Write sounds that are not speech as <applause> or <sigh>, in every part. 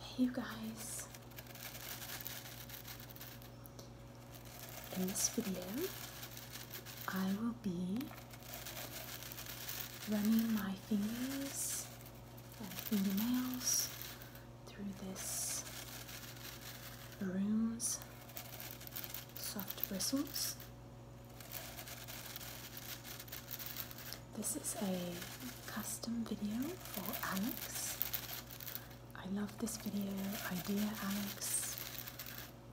Hey, you guys. In this video, I will be running my fingers and fingernails through this room's soft bristles. This is a custom video for Alex. I love this video idea, Alex.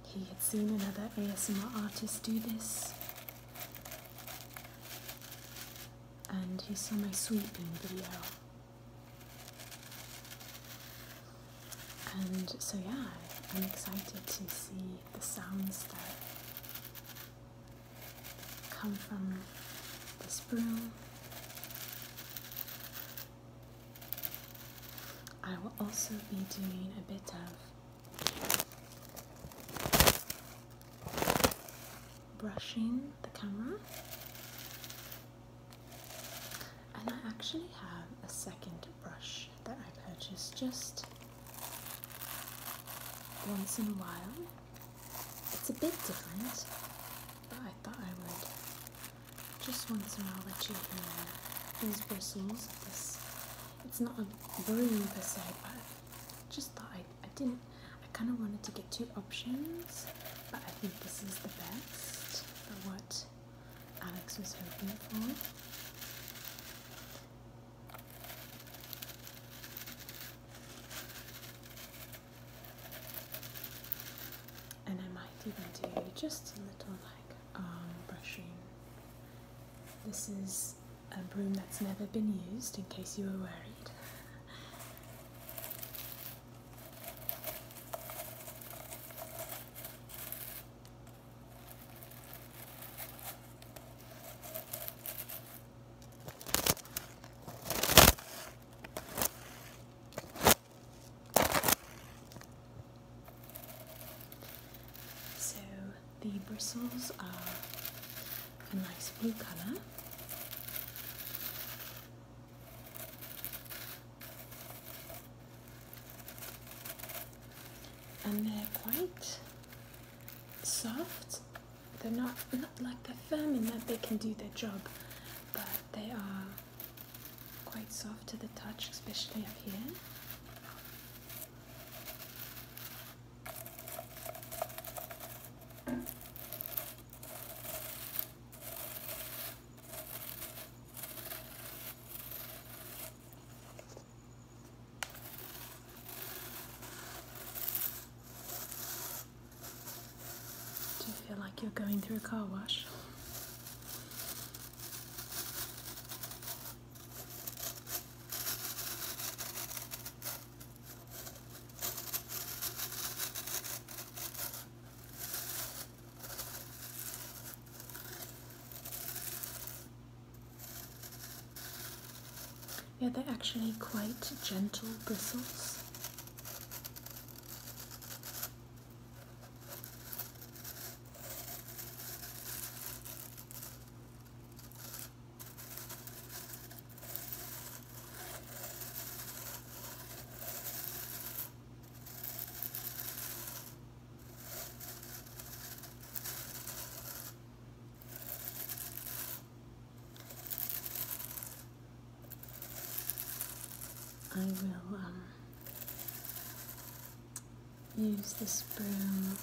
He had seen another ASMR artist do this. And he saw my sweeping video and so, yeah, I'm excited to see the sounds that come from this broom. I will also be doing a bit of brushing the camera and I actually have a second brush that I purchased just once in a while. It's a bit different, but I thought I would just once in a while let you hear these bristles. This it's not a broom per se, but I just thought I, I didn't I kinda wanted to get two options, but I think this is the best for what Alex was hoping for. And I might even do just a little like brushing. This is a broom that's never been used in case you were worried. So the bristles are a nice blue colour and they're quite soft. They're not, not like they're firm in that they can do their job, but they are quite soft to the touch, especially up here. Do you feel like you're going through a car wash? Yeah, they're actually quite gentle bristles. I will um, use this broom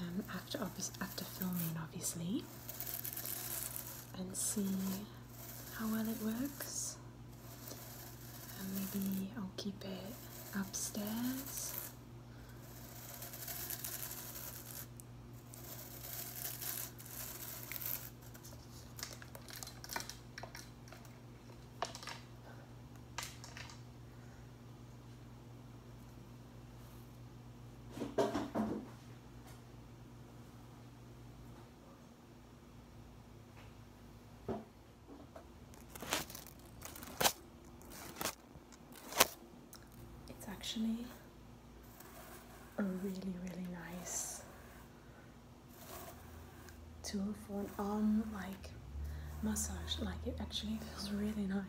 um, after after filming, obviously, and see how well it works. And maybe I'll keep it upstairs. It's actually a really, really nice tool for an arm like massage. Like it actually feels really nice.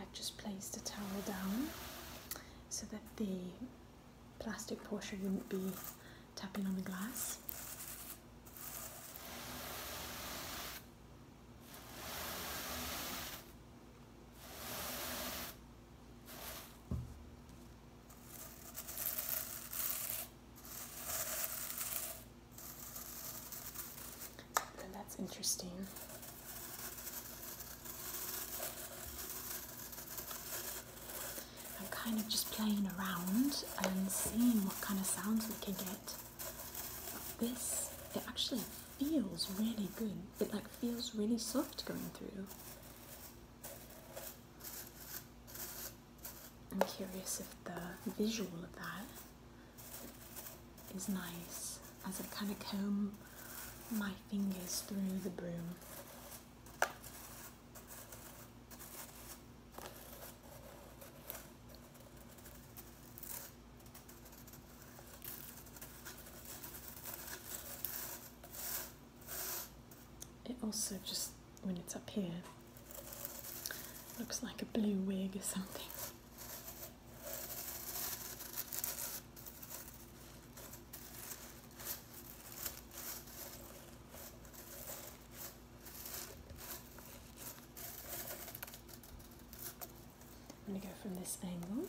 I've just placed a towel down so that the plastic portion wouldn't be tapping on the glass. And that's interesting. I'm kind of just playing around and seeing what kind of sounds we can get. this, it actually feels really good. It like feels really soft going through. I'm curious if the visual of that is nice as I kind of comb my fingers through the broom. It also just when it's up here. Looks like a blue wig or something. I'm going to go from this angle.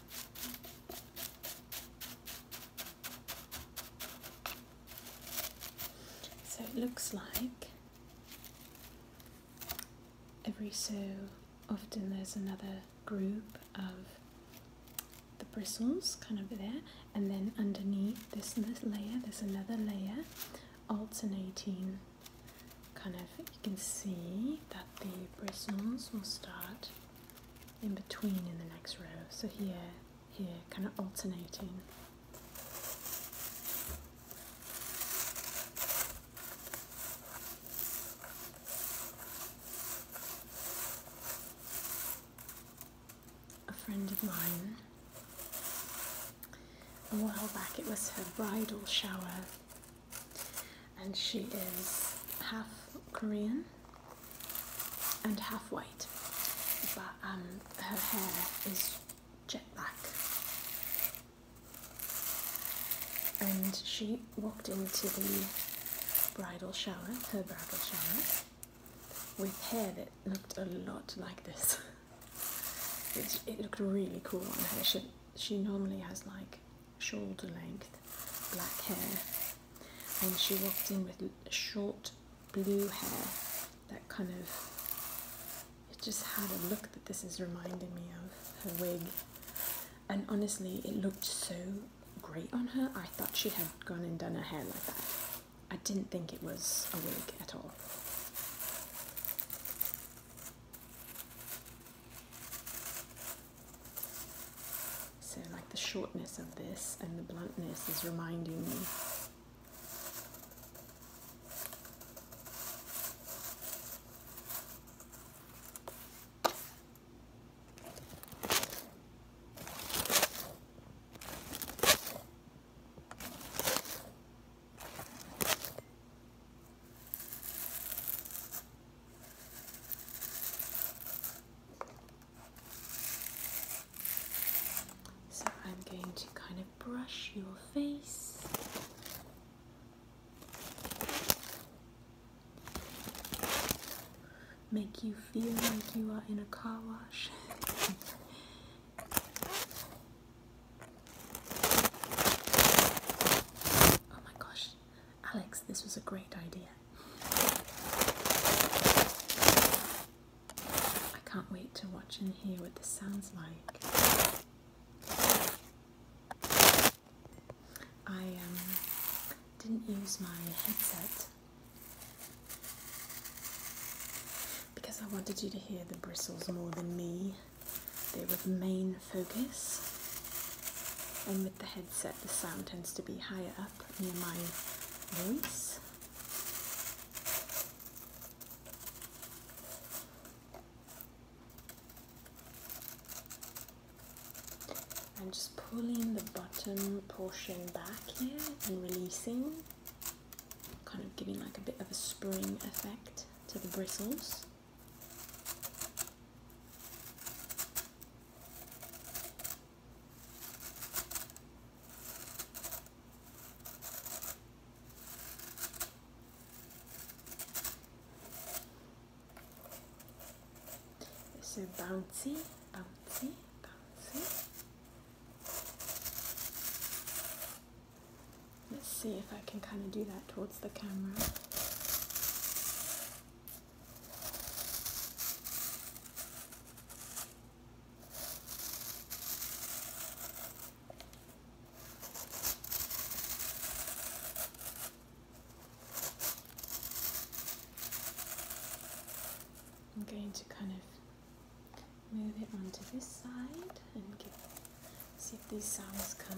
So it looks like every so often there's another group of the bristles kind of there and then underneath this, layer there's another layer alternating kind of you can see that the bristles will start in between in the next row. So here, here, kind of alternating. A friend of mine, a while back, it was her bridal shower and she is half Korean and half white, but um, her hair is jet black. And she walked into the bridal shower, her bridal shower, with hair that looked a lot like this. <laughs> It, it, looked really cool on her. She, she normally has like shoulder length black hair and she walked in with short blue hair that kind of it just had a look that this is reminding me of her wig and honestly it looked so great on her I thought she had gone and done her hair like that I didn't think it was a wig at all so like the shortness of this and the bluntness is reminding me so I'm going to kind of brush your face. Make you feel like you are in a car wash. <laughs> oh my gosh, Alex, this was a great idea. I can't wait to watch and hear what this sounds like. I um, didn't use my headset because I wanted you to hear the bristles more than me. They were the main focus, and with the headset, the sound tends to be higher up near my voice. and just pulling the bottom portion back here and releasing, kind of giving like a bit of a spring effect to the bristles. So bouncy, bouncy, bouncy. Let's see if I can kind of do that towards the camera. I'm going to kind of move it onto this side and see if these sounds come.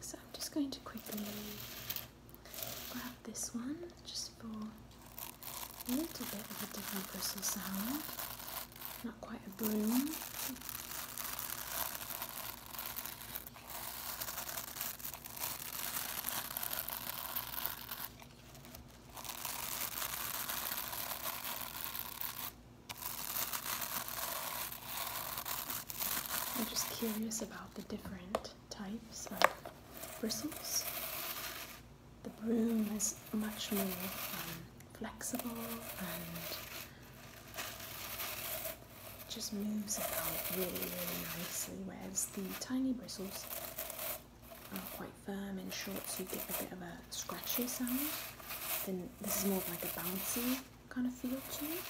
So I'm just going to quickly grab this one just for a little bit of a different bristle sound. Not quite a broom. I'm just curious about the different types of bristles. The broom is much more um, flexible just moves about really, really nicely, whereas the tiny bristles are quite firm and short, so you get a bit of a scratchy sound. Then this is more like a bouncy kind of feel to it.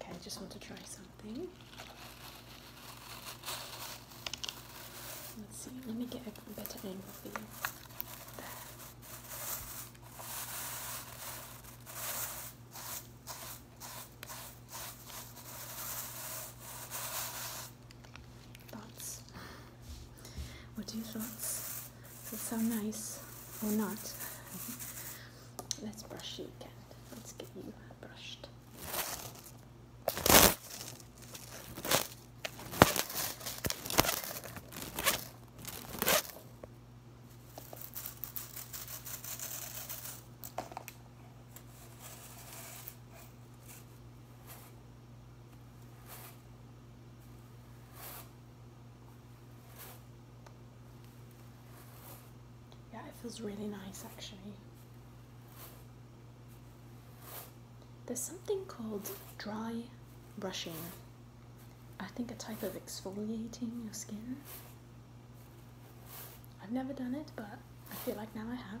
Okay, I just want to try something. Let's see, let me get a better angle for you. Thoughts? What are your thoughts? Does it sound nice or not? <laughs> Let's brush you again. Let's get you brushed. Yeah, it feels really nice actually. There's something called dry brushing. I think a type of exfoliating your skin. I've never done it, but I feel like now I have.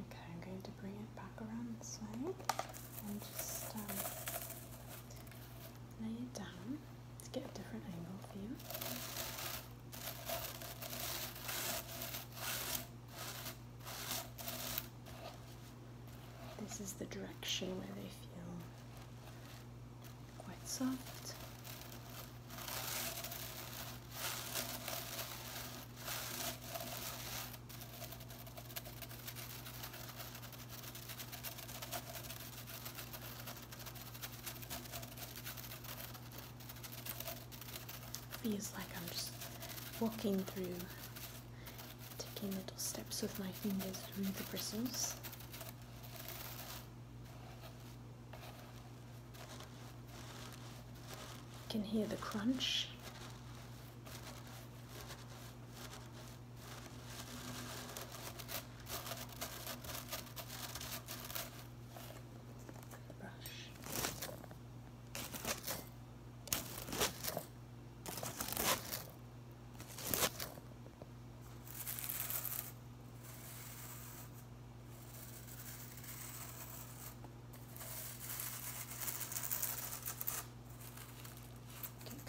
Okay, I'm going to bring it back around this way and just um, lay it down to get a different angle for you. This is the direction where they feel quite soft. Feels like I'm just walking through, taking little steps with my fingers through the bristles. You can hear the crunch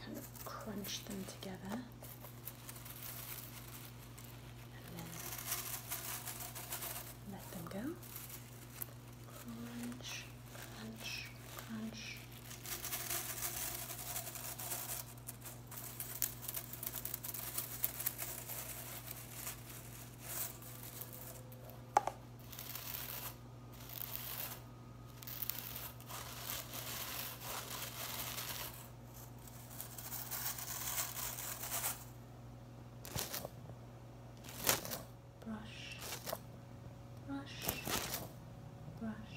kind of crunch them together. And then let them go crunch, crunch, crunch brush, brush, brush.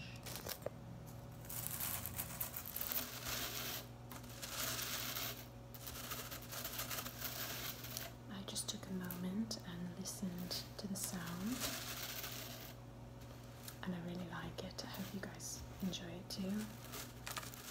I just took a moment and listened to the sound, and I really like it. I hope you guys enjoy it too.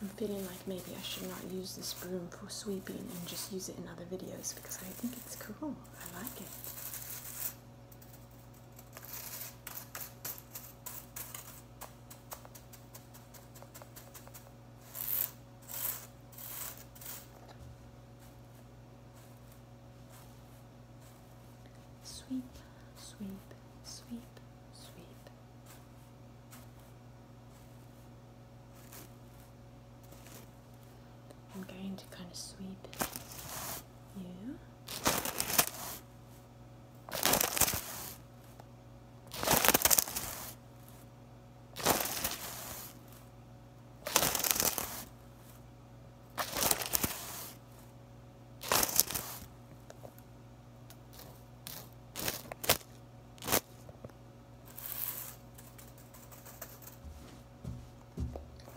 I'm feeling like maybe I should not use this broom for sweeping and just use it in other videos because I think it's cool. I like it. Sweep, sweep, sweep, sweep. I'm going to kind of sweep you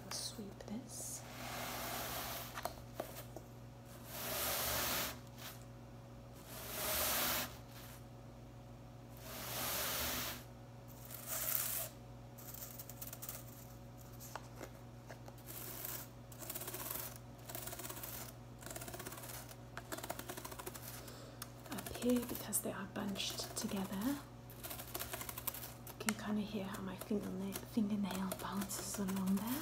sweep this. Up here, because they are bunched together, you can kind of hear how my fingernail, fingernail bounces along there.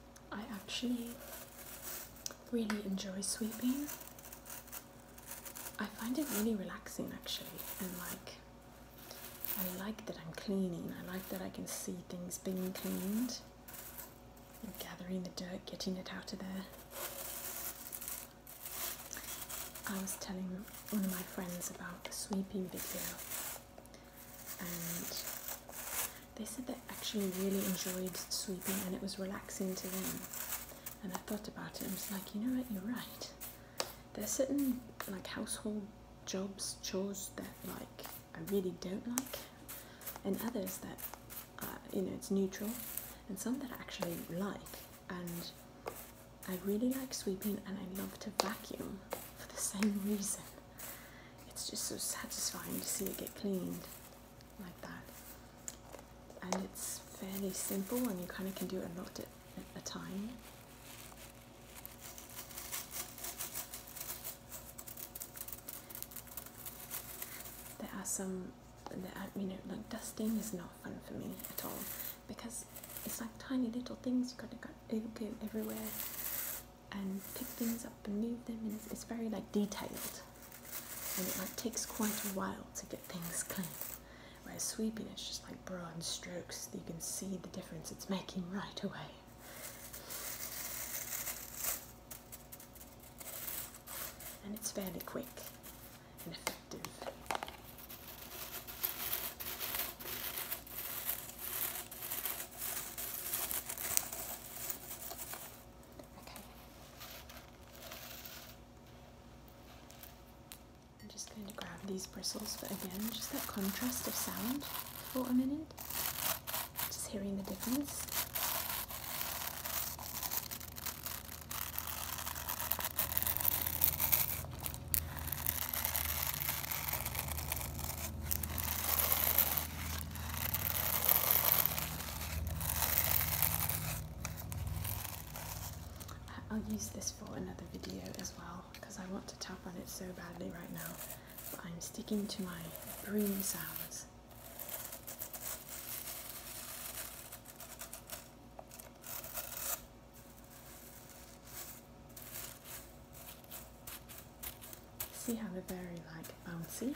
I actually really enjoy sweeping. I find it really relaxing actually, and like I like that I'm cleaning, I like that I can see things being cleaned, and gathering the dirt, getting it out of there. I was telling one of my friends about the sweeping video and they said they actually really enjoyed sweeping and it was relaxing to them. And I thought about it and was like, you know what, you're right. There's certain like household jobs, chores that like I really don't like, and others that uh, you know it's neutral, and some that I actually like. And I really like sweeping and I love to vacuum for the <laughs> same reason. It's just so satisfying to see it get cleaned like that. And it's fairly simple and you kind of can do a lot at, a time. There are some, there are, you know, like dusting is not fun for me at all because it's like tiny little things you have gotta get everywhere and pick things up and move them and it's, very like detailed and it like takes quite a while to get things clean whereas sweeping it's just like broad strokes you can see the difference it's making right away and it's fairly quick and effective I'm just going to grab these bristles but again, just that contrast of sound for a minute. Just hearing the difference. I'll use this for another video as well because I want to tap on it so badly right now but I'm sticking to my broom sounds. See how they're very like bouncy.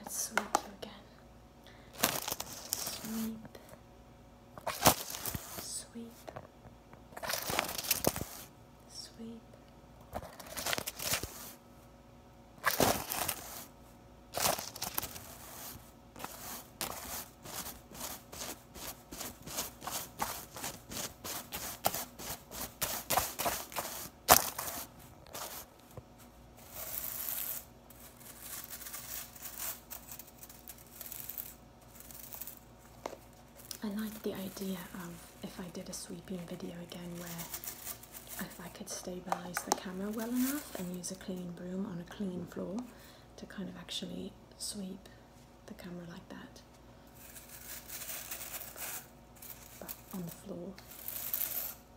Let's sweep you again. Sweep. Sweep. Sweep. I like the idea of if I did a sweeping video again where if I could stabilize the camera well enough and use a clean broom on a clean floor to kind of actually sweep the camera like that, but on the floor.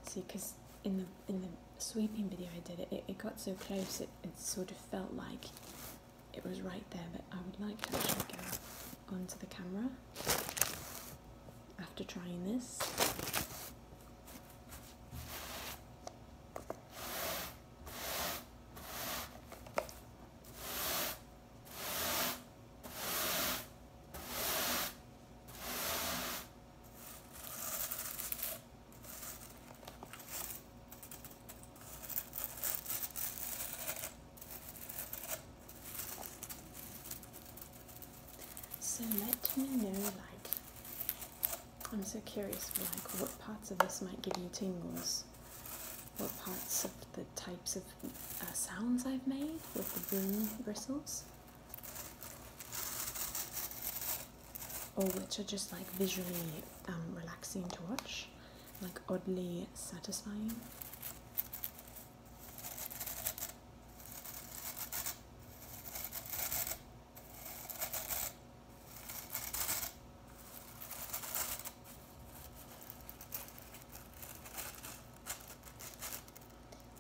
See, because in the in the sweeping video I did it, it, got so close it, it sort of felt like it was right there. But I would like to actually go onto the camera after trying this. So let me know, like, I'm so curious, like, what parts of this might give you tingles what parts of the types of uh, sounds I've made with the broom bristles, or which are just like visually um, relaxing to watch, like oddly satisfying.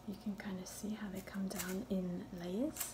You can kind of see how they come down in layers.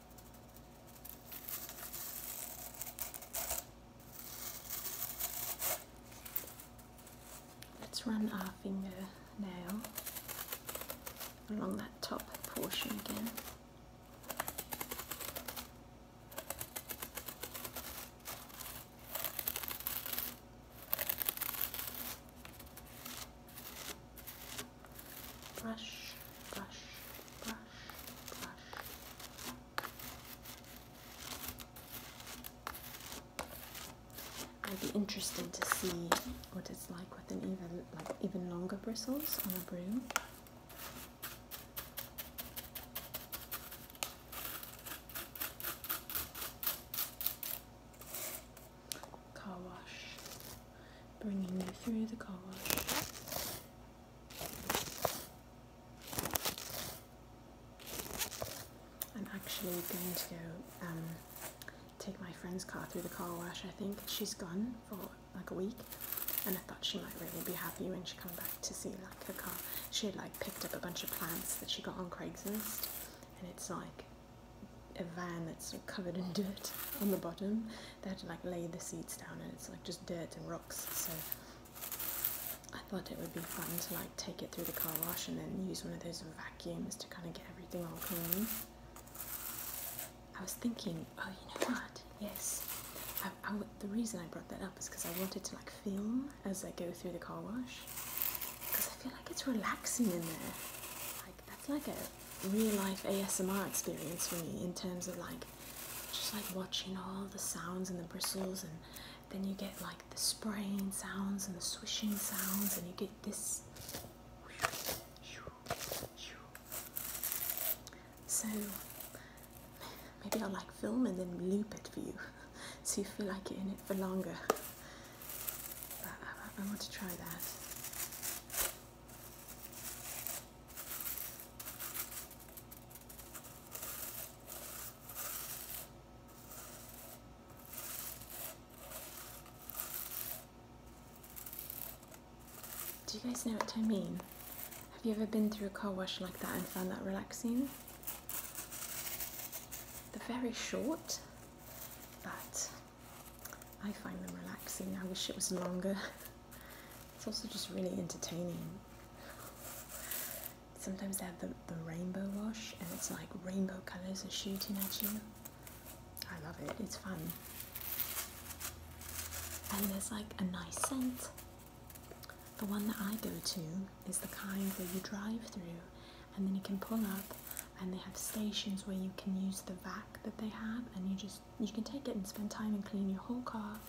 Let's run our finger now along that top portion again brush, brush, brush, brush. I'd be interested to see what it's like with an even like even longer bristles on a broom. Car wash bringing you through the car wash. I'm actually going to go um, take my friend's car through the car wash. I think she's gone for like a week, and I thought she might really be happy when she comes back to see like her car. She had like picked up a bunch of plants that she got on Craigslist, and it's like a van that's covered in dirt on the bottom they had to like lay the seats down and it's like just dirt and rocks so I thought it would be fun to like take it through the car wash and then use one of those vacuums to kind of get everything all clean. I was thinking, oh you know what, yes, the reason I brought that up is because I wanted to like film as I go through the car wash because I feel like it's relaxing in there. Like that's like a real life ASMR experience for me in terms of like just like watching all the sounds and the bristles and then you get like the spraying sounds and the swishing sounds and you get this so maybe I'll like film and then loop it for you <laughs> so you feel like you're in it for longer I want to try that do you guys know what I mean? Have you ever been through a car wash like that and found that relaxing? They're very short, but I find them relaxing. I wish it was longer. It's also just really entertaining. Sometimes they have the, the rainbow wash and it's like rainbow colours are shooting at you. I love it, it's fun. And there's like a nice scent. The one that I go to is the kind where you drive through and then you can pull up and they have stations where you can use the vac that they have and you just you can take it and spend time and clean your whole car.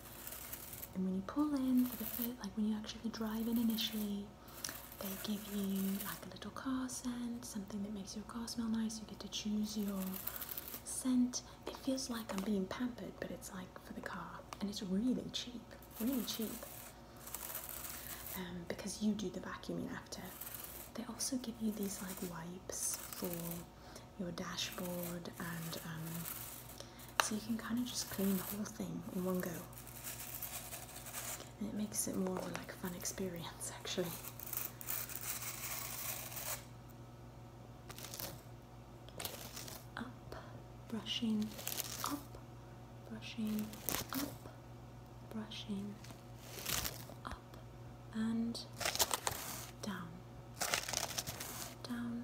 And when you pull in for the first, like when you actually drive in initially, they give you like a little car scent, something that makes your car smell nice. You get to choose your scent. It feels like I'm being pampered, but it's like for the car, and it's really cheap, really cheap. Um, because you do the vacuuming after. They also give you these like wipes for your dashboard and um, so you can kind of just clean the whole thing in one go it makes it more like a fun experience actually up brushing up brushing up brushing up up and down, down,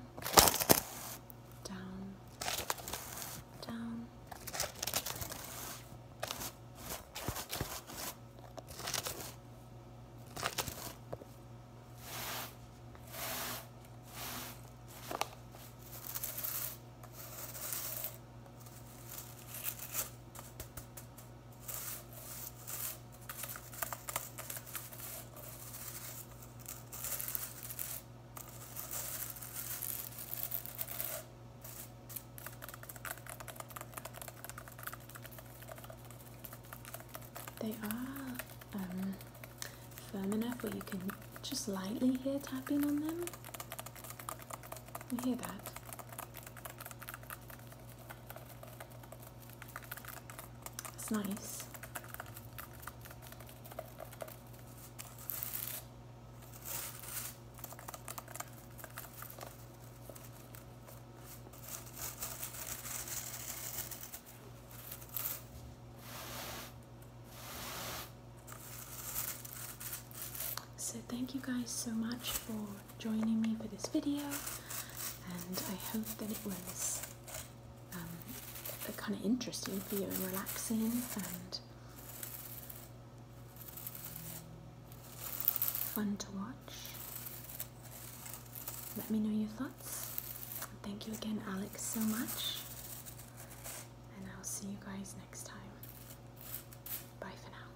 down, down. They are um, firm enough where you can just lightly hear tapping on them. You hear that? It's nice. So, thank you guys so much for joining me for this video and I hope that it was um, kind of interesting for you and relaxing and fun to watch. Let me know your thoughts. Thank you again Alex so much and I'll see you guys next time. Bye for now.